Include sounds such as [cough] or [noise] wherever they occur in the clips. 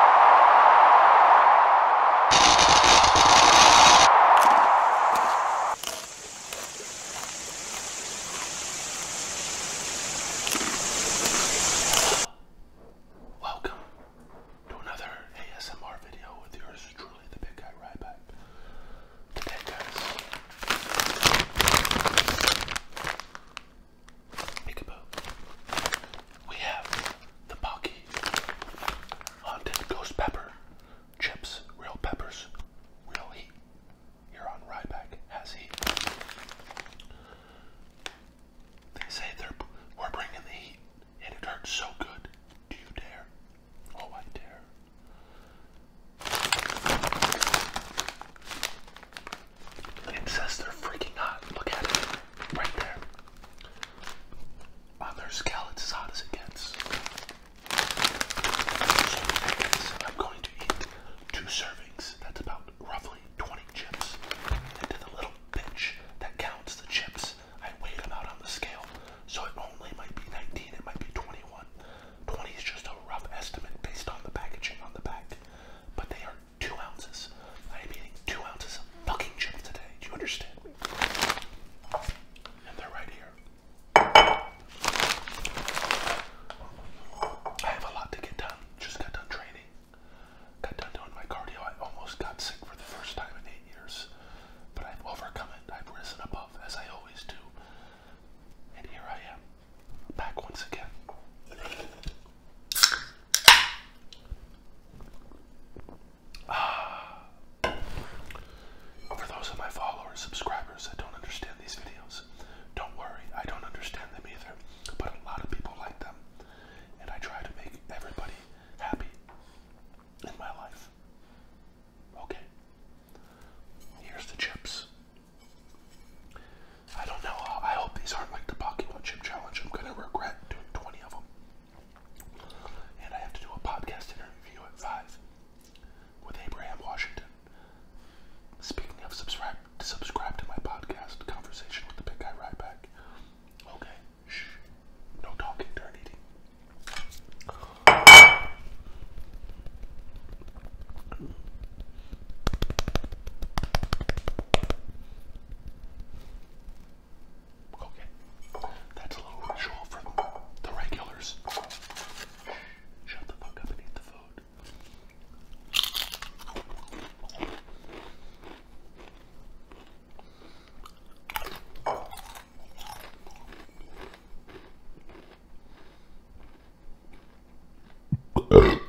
Welcome to another ASMR video with yours truly, the big guy Ryback. Today, guys, Peekaboo. We have the Pocky Haunted Ghost Pepper Chips, real peppers, real heat. you on Ryback has heat. They say they're we're bringing the heat, and it hurts so good. Do you dare? Oh, I dare. It says they're freaking hot. Look at it. Right there. On their scale, it's as hot as it gets. I'm going to eat two servings. That's about roughly 20 chips. And to the little bitch that counts the chips, I weigh them out on the scale. So it only might be 19, it might be 21. 20 is just a rough estimate based on the packaging on the back. But they are two ounces. I am eating two ounces of fucking chips today. Do you understand me? And they're right here. I have a lot to get done. Just got done training. Got done doing my cardio. I almost got sick for the first time in eight years. But I've overcome it. I've risen above, as I always do. And here I am, back once again. Uh, [sighs] for those of my followers, subscribers that don't understand these videos, don't worry, I don't understand them either. But a lot of people like them, and I try to make everybody happy in my life. Okay, here's the chips. I don't know. I hope these aren't like the pocket one chip challenge. I'm gonna regret doing 20 of them. And I have to do a podcast interview at 5 with Abraham Washington. Speaking of subscribe, subscribe to my podcast, Conversation with the Big Guy Right Back. Okay, shh, no talking during eating. Okay. That's a little ritual for the regulars. Shut the fuck up and eat the food. [laughs]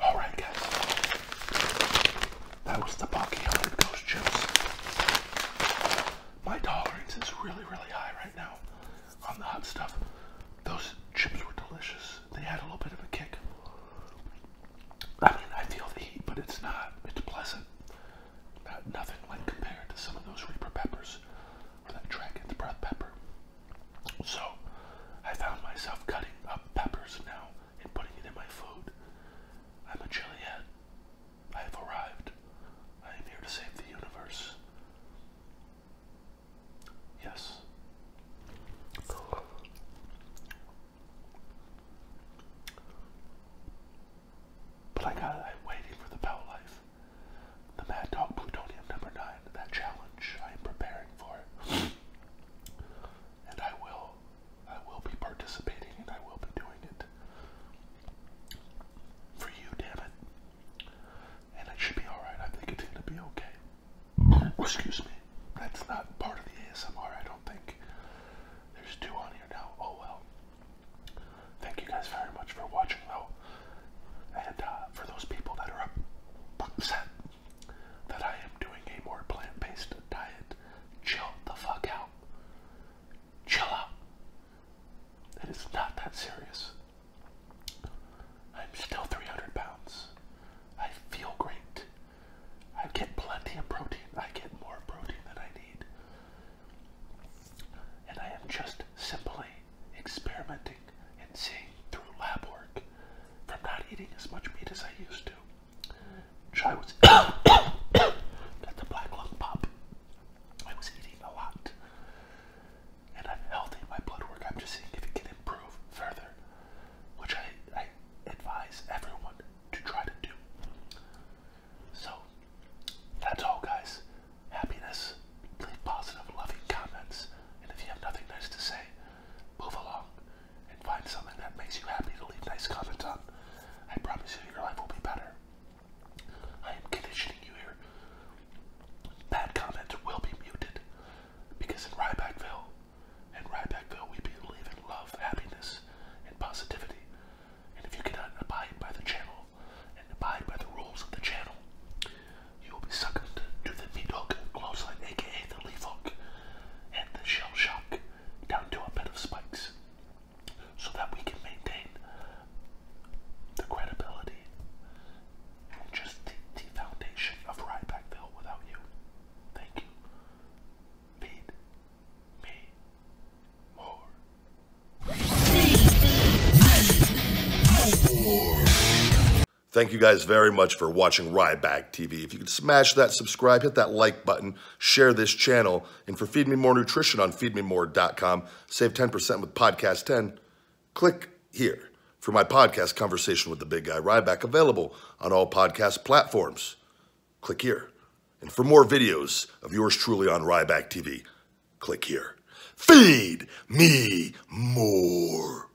All right, guys. That was the Bucky Hundred Ghost Chips. My tolerance is really, really high right now on the hot stuff. Those chips were delicious. They had a little bit of a kick. I mean, I feel the heat, but it's not. It's pleasant. nothing like compared to some of those Reaper peppers or that Dragon's Breath pepper. So, I found myself cutting up peppers now and putting it in my food. I'm a chiliad. I have arrived. I am here to save the universe. Yes. But I am waiting for the Bell Life. The Mad Dog Plutonium number nine, that challenge I am preparing for and I will I will be participating and I will be doing it for you, damn it. And it should be alright. I think it's gonna be okay. Excuse me. That's not part of the ASMR, I don't think. There's two on here now. Oh well. Thank you guys very much for watching though. And uh, for those people that are upset that I am doing a more plant based diet. Chill the fuck out. Chill out. It is not that serious. I'm still 300 pounds. I feel great. I get plenty of protein. I get more protein than I need. And I am just simply experimenting and seeing through lab work from not eating as much meat as I used to. Chai was at [coughs] the black lung pop. I was eating a lot. And I'm healthy my blood work. I'm just seeing if it can improve further. Which I, I advise everyone to try to do. So that's all guys. Happiness. Leave positive, loving comments. And if you have nothing nice to say, move along and find something that makes you happy to leave nice comments on. I promise you, your life will be better. I am conditioning you here. Bad comments will be muted because in Rybackville, in Rybackville, we believe in love, happiness, and positivity. And if you cannot abide by the channel and abide by the rules of the channel, you will be suckered to the Meadog Clawside, aka the Leafhawk, and the Shell Shock down to a bed of spikes so that we can maintain the credibility and just the, foundation of Rybackville without you. Thank you. Feed me more. Thank you guys very much for watching Ryback TV. If you could smash that subscribe, hit that like button, share this channel, and for Feed Me More Nutrition on feedmemore.com, save 10% with Podcast 10. Click here for my podcast, Conversation with the Big Guy Ryback, available on all podcast platforms. Click here. And for more videos of yours truly on Ryback TV, click here. Feed me more.